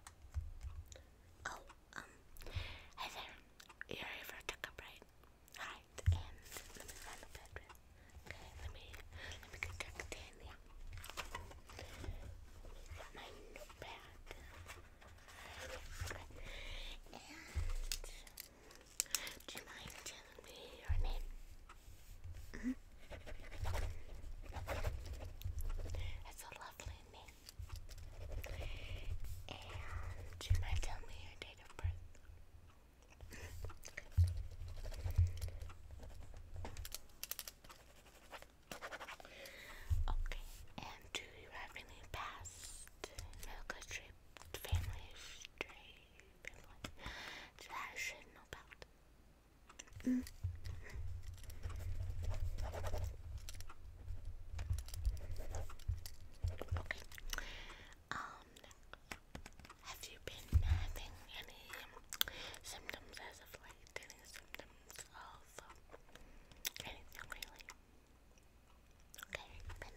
Oh, um, hi there. You're for a checkup, right? Alright, and let me find the bedroom. Okay, let me, let me get my notepad. and do you mind telling me your name? Mm-hmm lovely name. your date of birth. okay, and do you have any past military family history family that I should know about? Mm. have you been having any symptoms as of late? Any symptoms of anything really? Okay, been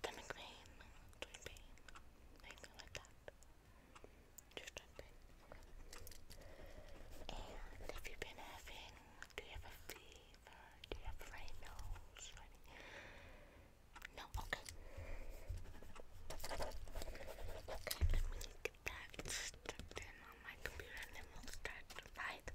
stomach pain, joint pain, anything like that. Just you been having, do you have a fever? Do you have a runny nose? No. Okay. Okay. Let me get that stuck in on my computer, and then will start to buy the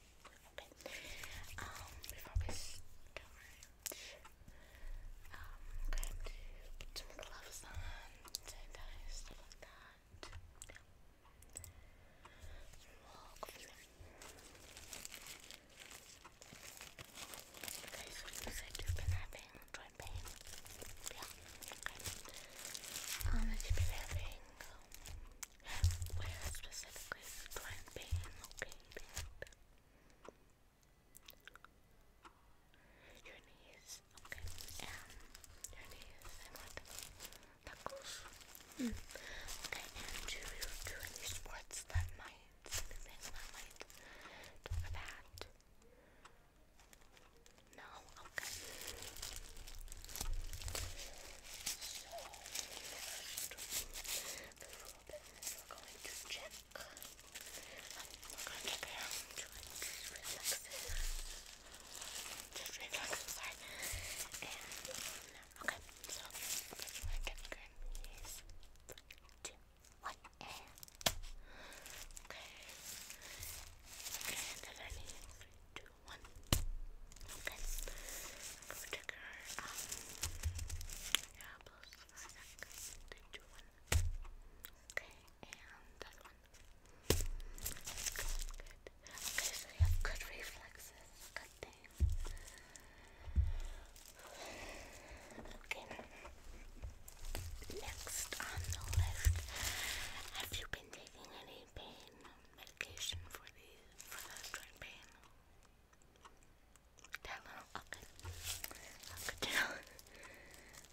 Okay. Um, before we start, um, going to put some gloves on, sanitize, stuff like that. Walk with them. Okay, so you said you've been having joint pain. Yeah, okay. Um, have you been having um, where specifically is the plant being located? Your knees, okay, your knees, and what? Knuckles. Mm. Okay, do you do any sports that might, that might talk about? No, okay. So, before we're going check. Um, we going to go to just Just relax, i And, okay, so, I can grab is two, one, and. Okay. Okay, and then three, two, one. Okay. Go check her um yeah, plus do one. Okay, and that one. Good, good. Okay, so you have good reflexes. Good thing. Okay. Next on the list, have you been taking any pain medication for the for the joint pain? Tylenol. Okay. Okay.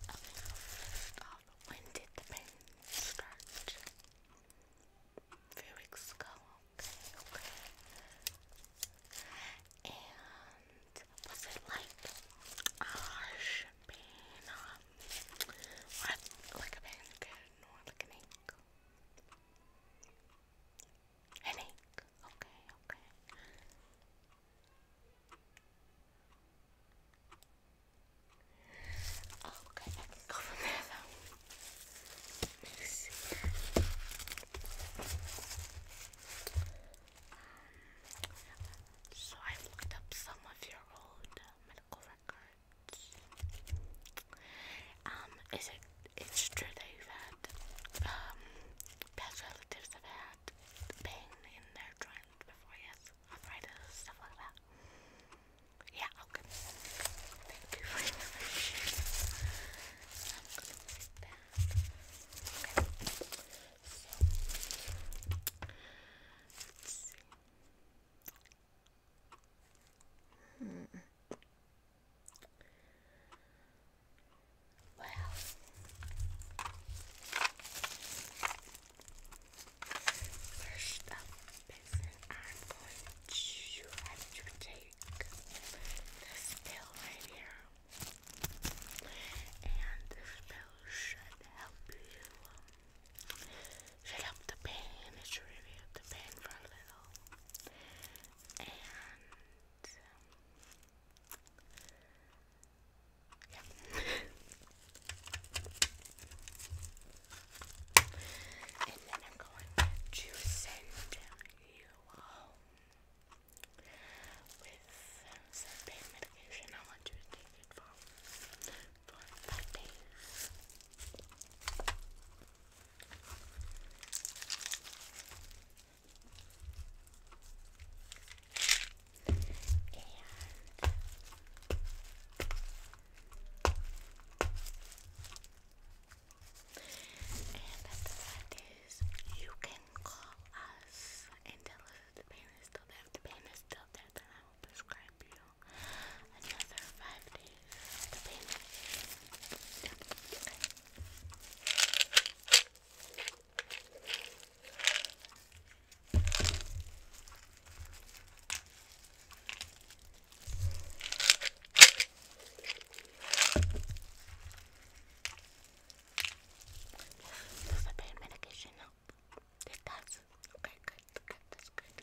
First off, when did the pain start? A few weeks ago. Okay. Okay. And was it like harsh pain, Att lägga pengar, några lägga nick. En nick, okej, okay, okej. Okay. Oh, okay, go from there um, so i looked up some of your old medical records. Um, is it it's true that you've um, relatives have had pain in their joints before, yes? Arthritis, stuff like that. Yeah, Thank you for your information. So, let first up is I'm going have to take this pill right here. And this spell should help you. Um, should the pain. It should relieve the pain for a little. And yeah. Um, and then I'm going to send you home with some pain medication. I want you to take it for for five days. And and after that is you can can call us and tell us if the pain is still there. the pain is still there, then I will prescribe you another five days. Does the pain medication Okay, good, good, that's good.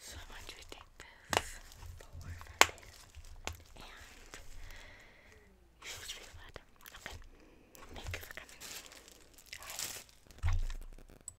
So I want you to take this for this and you should feel it. Okay. Thank you for Bye.